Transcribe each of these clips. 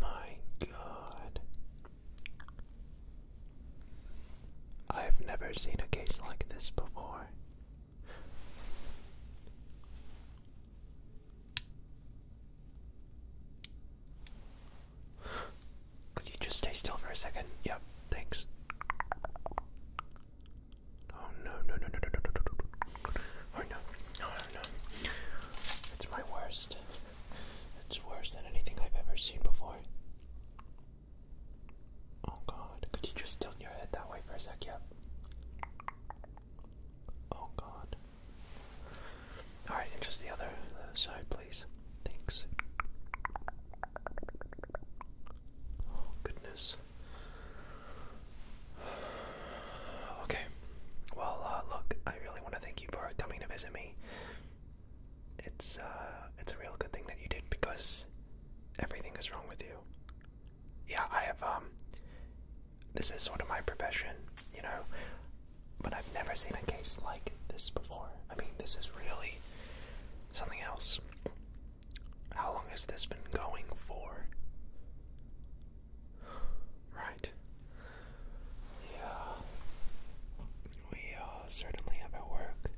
My God. I've never seen a case like this before. Could you just stay still for a second? Yep, thanks. Oh no, no, no, no, no, no, no, no. Oh no, no, no, no. It's my worst. It's worse than anything I've ever seen before. Oh god, could you just tilt your head that way for a sec? Yep. Oh god. Alright, and just the other side, please. Thanks. Oh goodness. Okay. Well, uh, look, I really want to thank you for coming to visit me. It's uh, it's a real good thing that you did because everything is wrong with you. Yeah, I have um, This is sort of my profession, you know, but I've never seen a case like this before. I mean, this is really something else. How long has this been going for? Right. Yeah. We uh, certainly have our work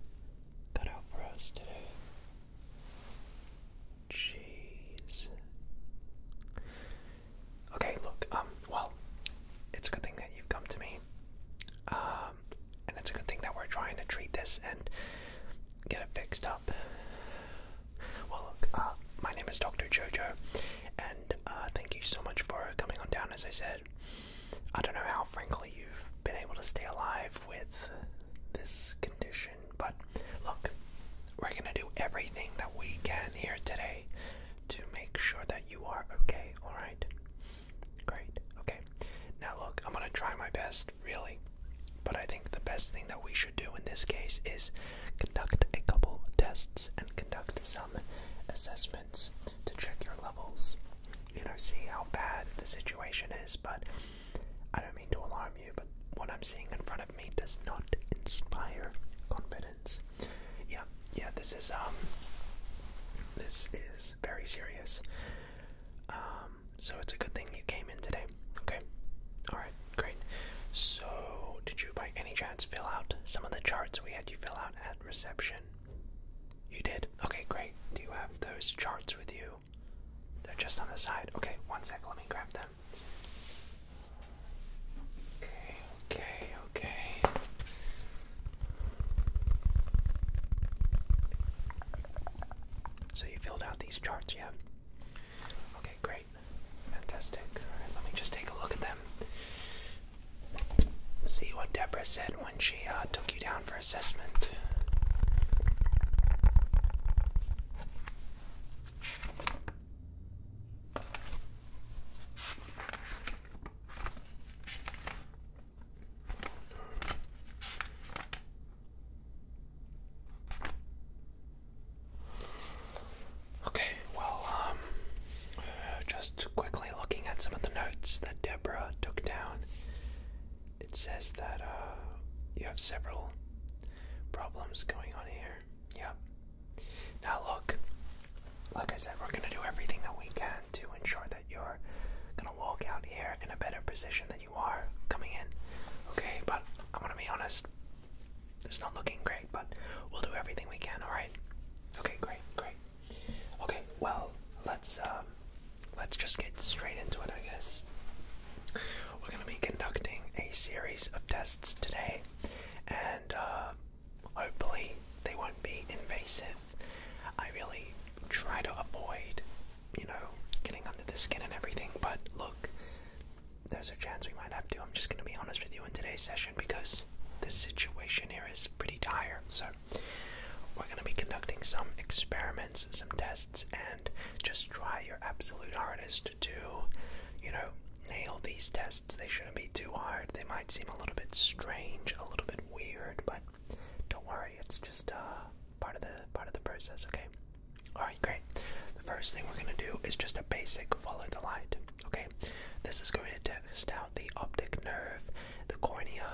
cut out for us today. Jeez. Okay, look, um, well, it's a good thing that you've come to me. Um, and it's a good thing that we're trying to treat this and get it fixed up. Well, look, uh, my name is Dr. Jojo, and uh, thank you so much for coming on down. As I said, I don't know how, frankly, you've been able to stay alive with this condition, but look, we're gonna do everything that we can here today to make sure that you are okay, alright? Great, okay. Now, look, I'm gonna try my best really. But I think the best thing that we should do in this case is conduct a couple tests and conduct some assessments to check your levels. You know, see how bad the situation is. But I don't mean to alarm you, but what I'm seeing in front of me does not inspire confidence. Yeah, yeah, this is um, this is very serious. Um, um, so it's a good thing you came in today. Okay. All right. Great. So, did you by any chance fill out some of the charts we had you fill out at reception? You did? Okay, great. Do you have those charts with you? They're just on the side. Okay, one sec, let me grab them. Okay, okay, okay. So you filled out these charts, yeah? Okay, great. Fantastic. Alright, let me just take a look at them. See what Debra said when she uh, took you down for assessment. Okay, well, um, just quickly looking at some of the notes that Deborah took down, it says that uh, you have several problems going on here. Yep. Now, look, like I said, we're going to do everything that we can to ensure that you're going to walk out here in a better position than you you are coming in. Okay, but I'm gonna be honest. It's not looking great, but we'll do everything we can. All right. Okay, great, great. Okay, well, let's um, let's just get straight into it, I guess. We're gonna be conducting a series of tests today, and uh, hopefully they won't be invasive. I really try to avoid you know, getting under the skin and everything, but look, there's a chance we might have to. I'm just going to be honest with you in today's session because this situation here is pretty dire. So, we're going to be conducting some experiments, some tests, and just try your absolute hardest to, you know, nail these tests. They shouldn't be too hard. They might seem a little bit strange, a little bit weird, but don't worry, it's just uh, part of the part of the process. Okay. All right, great. The first thing we're gonna do is just a basic follow the light. Okay. This is going to test out the optic nerve, the cornea,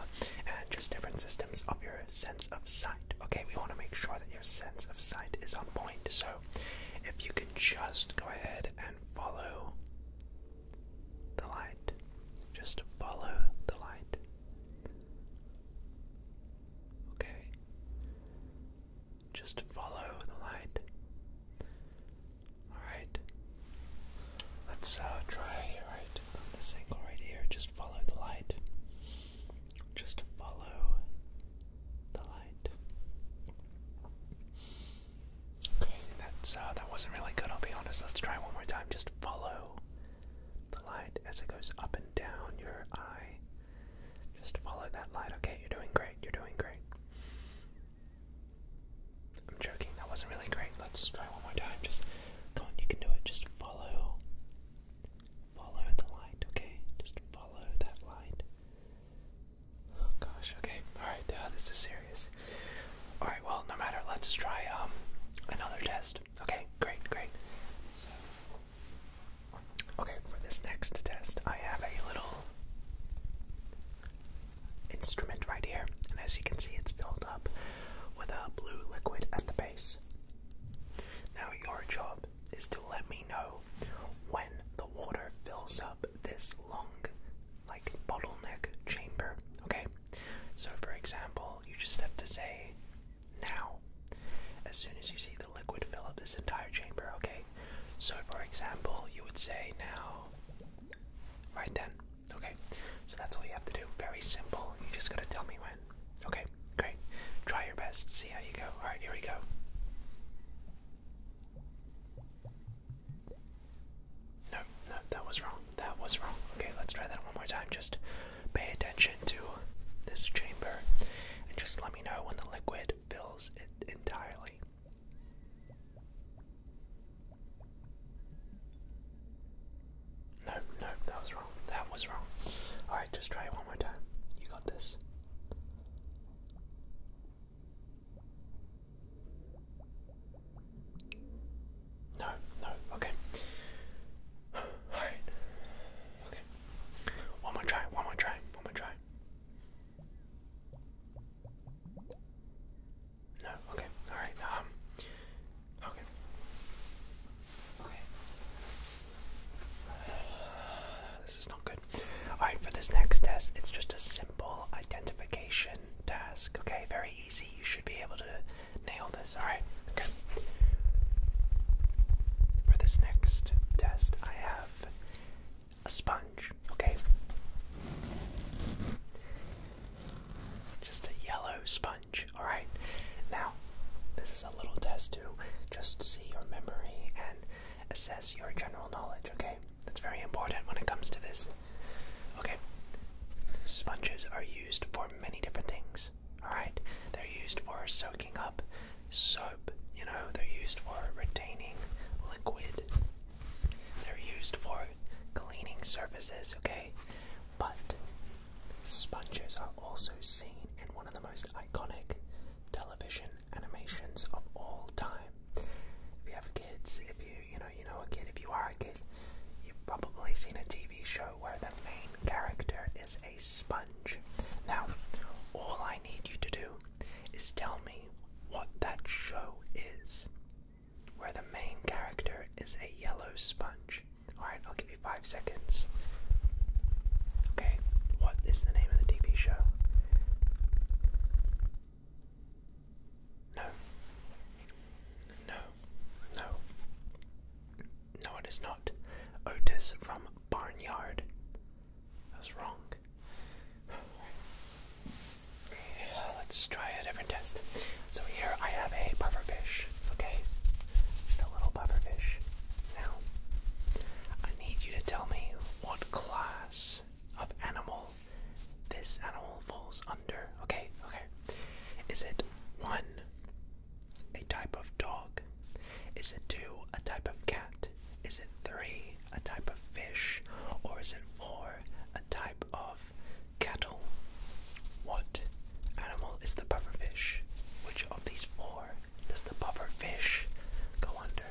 and just different systems of your sense of sight. Okay. We want to make sure that your sense of sight is on point. So, if you can just go ahead and follow the light, just follow the light. Okay? Just follow the light. Alright. Let's uh, try right this angle right here. Just follow the light. Just follow the light. Okay, that's uh, that wasn't really good. I'll be honest. Let's try one more time. Just follow the light as it goes up and down your eye. Just follow that light. Okay, you're doing great. You're doing great. I'm joking. That wasn't really great. Let's try one more time. Just come on. You can do it. Just follow. Follow the light. Okay. Just follow that light. Oh, gosh. Okay. All right. Uh, this is serious. All right. Well, no matter. Let's try um another test. Okay, great, great. So, okay, for this next test, I have a little instrument right here, and as you can see, it's filled up with a blue liquid at the base. Now, your job is to let me know when the water fills up this long, like, bottleneck chamber, okay? So, for example, you just have to say now. As soon as you see the liquid fill up this entire chamber, okay? So, for example, you would say now, right then, okay? So that's all you have to do. Very simple. You just gotta tell me when. Okay, great. Try your best. See how you go. Alright, here we go. No, no, that was wrong. That was wrong. Okay, let's try that one more time. Just pay attention to this chamber and just let me know when the liquid fills it entirely. No, no, that was wrong. That was wrong. Alright, just try it one more time. You got this. No, no, okay. Alright. Okay. One more try, one more try, one more try. No, okay, alright, um okay. Okay. this is not good. Alright, for this next test, it's just a simple identification task. Okay, very easy. You should be able to nail this. Alright, okay. For this next test, I have a sponge, okay? Just a yellow sponge, alright? Now, this is a little test to just see your memory and assess your general knowledge, okay? That's very important when it comes to this. Okay, sponges are used for many different things. Alright? They're used for soaking up soap, you know, they're used for retaining liquid. They're used for cleaning surfaces, okay? But sponges are also seen in one of the most iconic television animations of all time. If you have kids, if you you know you know a kid, if you are a kid, you've probably seen a TV show where the main character is a sponge. Now, all I need you to do is tell me what that show is, where the main character is a yellow sponge. Alright, I'll give you five seconds. Okay, what is the name of the TV show? No. No. No. No, it is not. Otis from Barnyard. I was wrong. let's try a different test. So here I have a pufferfish, okay? Just a little pufferfish. Now, I need you to tell me what class of animal this animal falls under, okay? Okay. Is it one, a type of dog? Is it two, a type of cat? Is it three, a type of fish? Or is it four, a type of cattle? What animal is the pufferfish? Which of these four does the pufferfish go under?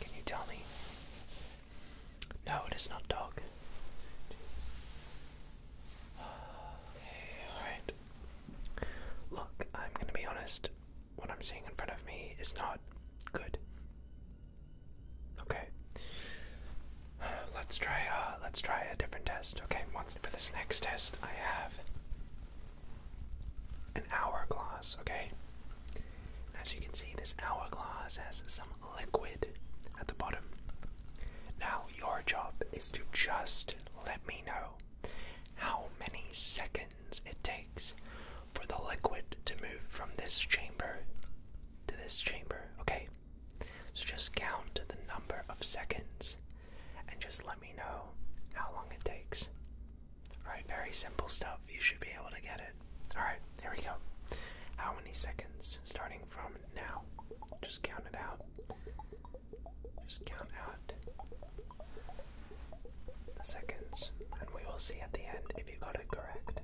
Can you tell me? No, it is not dog. Jesus. alright. Look, I'm gonna be honest. What I'm seeing in front of me is not good. Okay. Let's try uh, let's try a different test. Okay, for this next test I have an hourglass, okay? as you can see, this hourglass has some liquid at the bottom. Now, your job is to just let me know how many seconds it takes for the liquid to move from this chamber to this chamber, okay? So just count the number of seconds and just let me know how long it takes. Alright, very simple stuff. You should be able to get it. Alright, here we go. How many seconds? Starting from now. Just count it out. Just count out the seconds, and we will see at the end if you got it correct.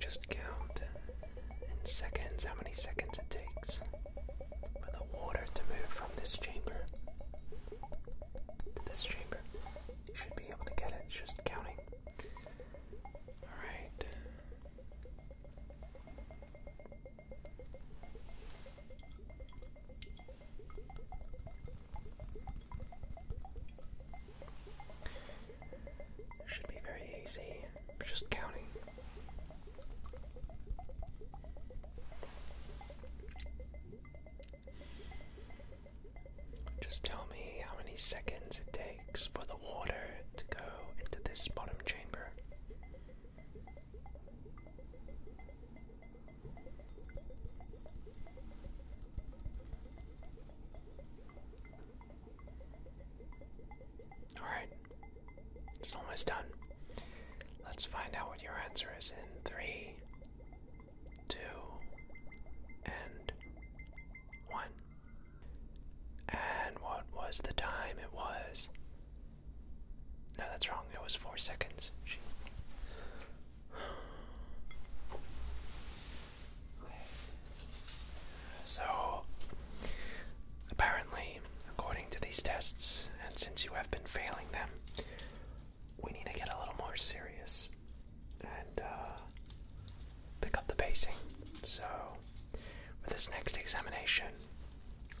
just count in seconds how many seconds it takes for the water to move from this chamber to this chamber. You should be able to get it, it's just counting. Alright. Should be very easy. I'm just counting. Just tell me how many seconds it takes for the water to go into this bottom chamber. Alright, it's almost done. Let's find out what your answer is in three, two, and one. And what was the time? It was. No, that's wrong. It was four seconds. So, apparently, according to these tests, and since you have been failing them, we need to get a little more serious and uh, pick up the pacing. So, for this next examination,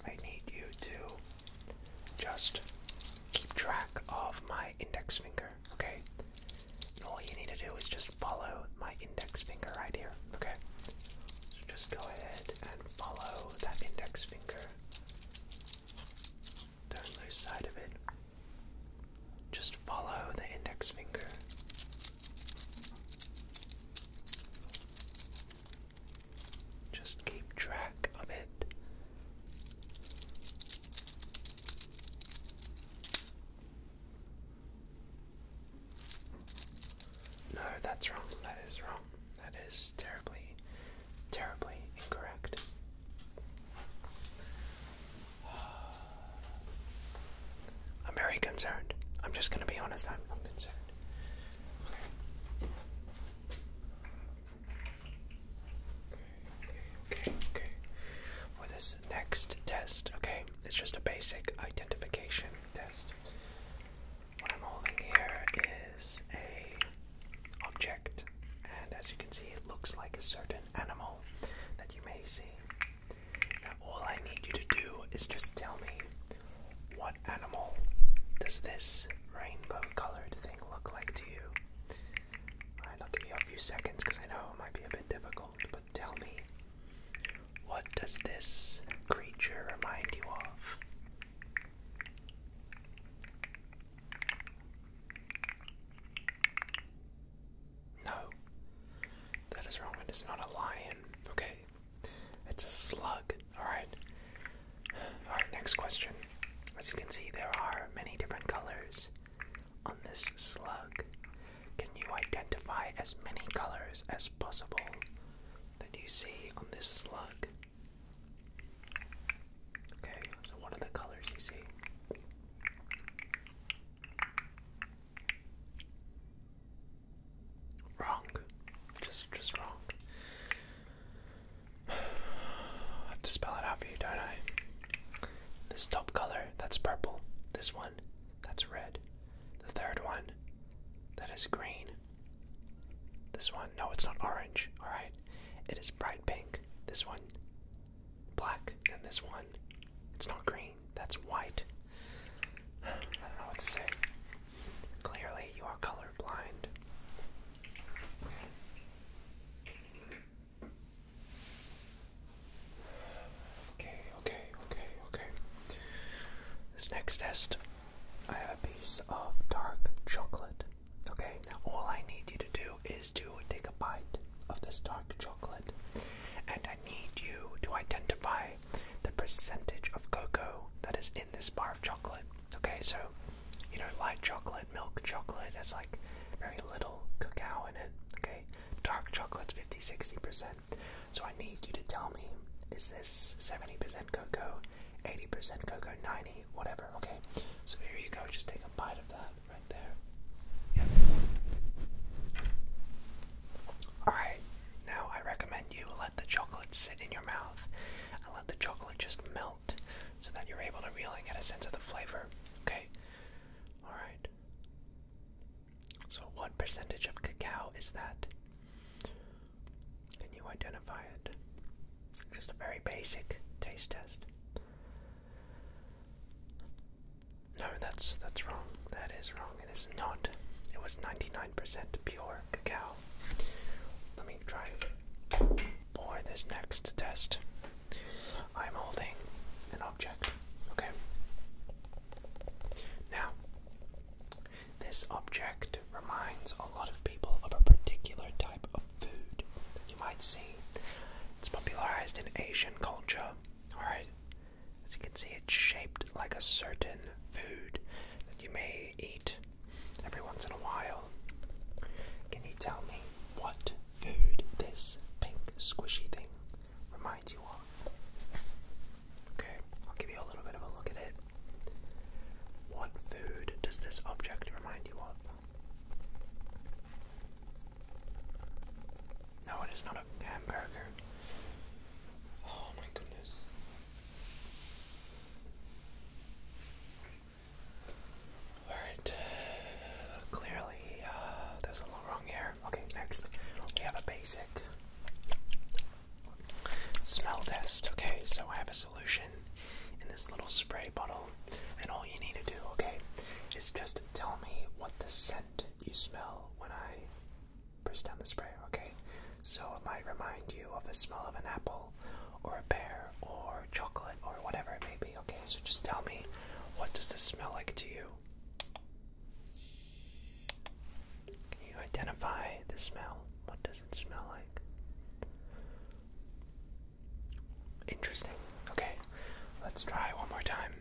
I need you to just keep track of my index finger, okay? all you need to do is just follow my index finger right here, okay? So just go ahead and follow that index finger the loose side of it. Just follow the index finger. Just keep track of it. No, that's wrong. That is wrong. That is terribly, terribly incorrect. I'm very concerned. I'm just gonna be honest, I'm, not concerned. Okay. Okay, okay, okay. For this next test, okay, it's just a basic identification test. What I'm holding here is a object, and as you can see, it looks like a certain animal that you may see. all I need you to do is just tell me what animal does this rainbow-colored thing look like to you. I'll give you a few seconds because I know it might be a bit difficult, but tell me what does this creature remind you of? No. That is wrong. It is not a lion. Okay. It's a slug. Alright. Alright, next question. As you can see, there are many different colors on this slug. Can you identify as many colors as possible that you see on this slug? Okay, so what are the colors you see? Wrong. Just just wrong. I have to spell it out for you, don't I? This top color, that's purple. This one, that's red. The third one, that is green. This one, no, it's not orange. All right, it is bright pink. This one, black, and this one, it's not green. That's white. I don't know what to say. Clearly, you are colorblind. Okay, okay, okay, okay. This next test, I have a piece of dark chocolate. Okay, all I need you to do is to take a bite of this dark chocolate, and I need you to identify the percentage of cocoa that is in this bar of chocolate. Okay, so you know, light chocolate, milk chocolate has like very little cacao in it. Okay, dark chocolate's 50 60%. So I need you to tell me is this 70% cocoa? 80% cocoa, 90, whatever, okay? So here you go, just take a bite of that right there. Alright, now I recommend you let the chocolate sit in your mouth and let the chocolate just melt so that you're able to really get a sense of the flavor, okay? Alright. So, what percentage of cacao is that? Can you identify it? Just a very basic taste test. No, that's that's wrong. That is wrong. It is not. It was 99% pure cacao. Let me try for this next test. I'm holding an object. Okay. Now, this object reminds a lot of people of a particular type of food, you might see it's popularized in Asian culture. Alright, as you can see, it's shaped like a certain food that you may eat every once in a while. Can you tell me what food this pink squishy thing reminds you of? Okay, I'll give you a little bit of a look at it. What food does this object remind you of? No, it is not a hamburger. Oh my goodness. Alright, clearly uh, there's a little wrong here. Okay, next we have a basic smell test. Okay, so I have a solution in this little spray bottle, and all you need to do, okay, is just tell me what the scent you smell when I push down the spray, okay? So it might remind you of the smell of an apple, or a pear, or chocolate, or whatever it may be, okay? So just tell me, what does this smell like to you? Can you identify the smell? What does it smell like? Interesting. Okay, let's try one more time.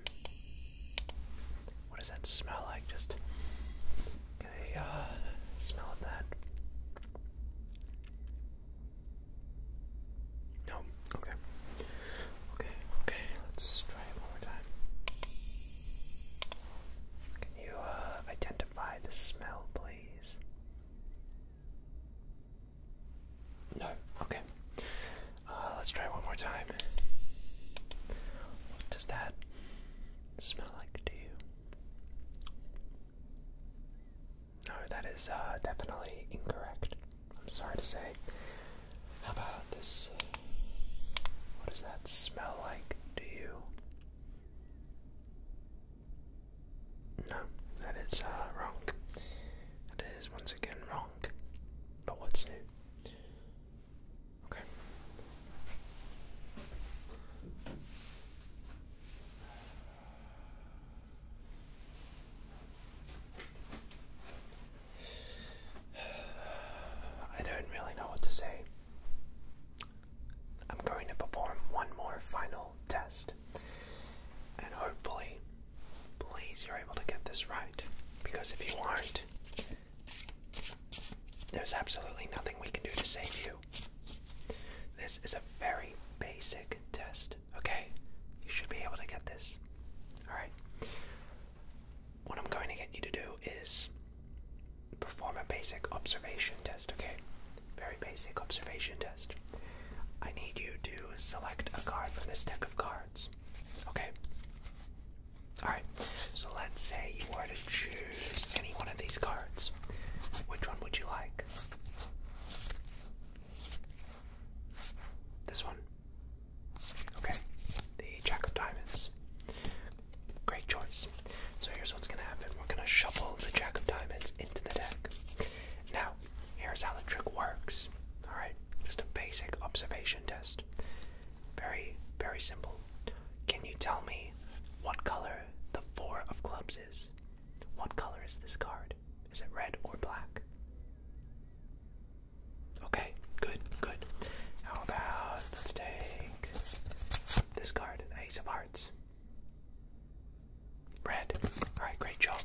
What does that smell like? Just get a uh, smell that. No. Okay. Okay. Okay. Let's try it one more time. Can you uh, identify the smell, please? No. Okay. Uh, let's try one more time. does that smell like to you? No, that is uh, definitely incorrect. I'm sorry to say. How about this? What does that smell like to you? No, that is uh, wrong. That is once again wrong. But what's new? Okay. I don't really know what to say. I'm going to perform one more final test. And hopefully, please, you're able to get this right. Because if you aren't, there's absolutely nothing we can do to save you. This is a very basic test, okay? You should be able to get this. Alright? What I'm going to get you to do is perform a basic observation test, okay? Very basic observation test. I need you to select a card from this deck of cards. Okay? Alright, so let's say you were to choose any one of these cards. Which one would you like? This one? Okay, the Jack of Diamonds. Great choice. So here's what's gonna happen. We're gonna shuffle the Jack of Diamonds into the deck. Now, here's how the trick works. Alright, just a basic observation test. Very, very simple. Can you tell me what color the Four of Clubs is? What color is this card? Is it red or black? Okay, good, good. How about let's take this card, Ace of Hearts. Red. Alright, great job.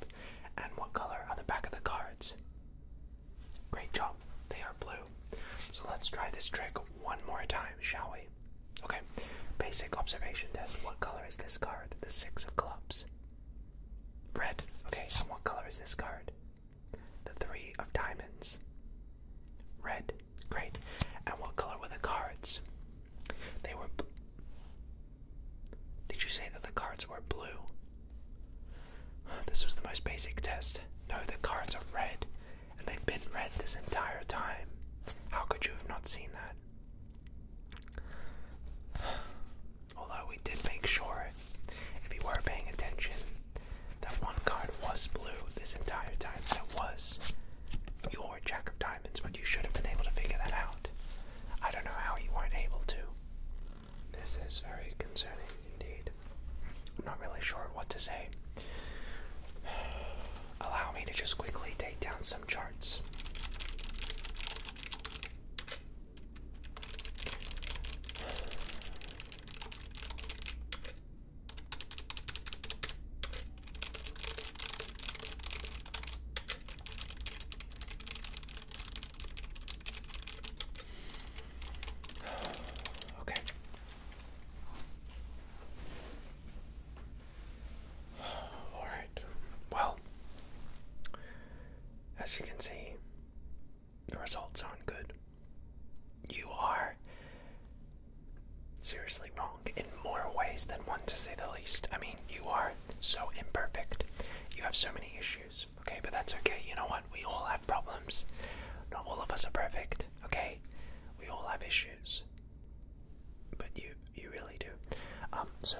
And what color are the back of the cards? Great job. They are blue. So let's try this trick one more time, shall we? Okay, basic observation test. What color is this card? The Six of Clubs. Red. Okay, and what color is this card? The Three of Diamonds. Red. Great. And what color were the cards? They were. Bl Did you say that the cards were blue? This was the most basic test. No, the cards are red, and they've been red this entire time. How could you have not seen that? Although we did make sure, if you were paying attention, that one card was blue this entire time. That was you're a jack of diamonds, but you should have been able to figure that out. I don't know how you weren't able to. This is very concerning indeed. I'm not really sure what to say. Allow me to just quickly take down some charts. Okay. All right. Well, as you can see, the results aren't good. You are seriously wrong in more ways than one, to say the least. I mean, you are so imperfect. You have so many issues, okay? But that's okay. You know what? We all have problems. Not all of us are perfect, okay? We all have issues. But you, you really do. Um, so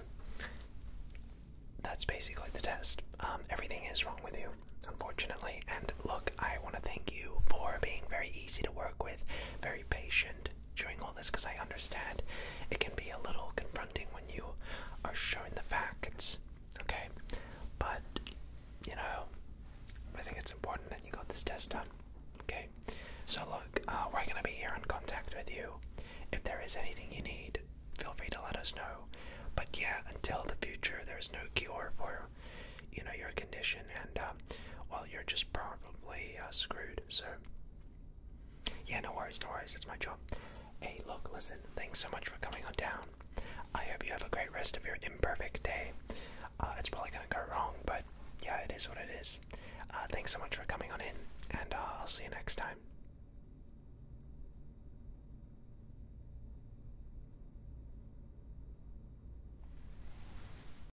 that's basically the test. Um, everything is wrong with you, unfortunately. And look, I want to thank you for being very easy to work with, very patient, during all this because I understand it can be a little confronting when you are showing the facts, okay? But, you know, I think it's important that you got this test done, okay? So, look, uh, we're going to be here in contact with you. If there is anything you need, feel free to let us know. But yeah, until the future, there is no cure for, you know, your condition, and uh, while you're just prone probably uh, screwed. So, yeah, no worries, no worries. It's my job. Hey, look, listen. Thanks so much for coming on down. I hope you have a great rest of your imperfect day. Uh, it's probably gonna go wrong, but yeah, it is what it is. Uh, thanks so much for coming on in, and I'll see you next time.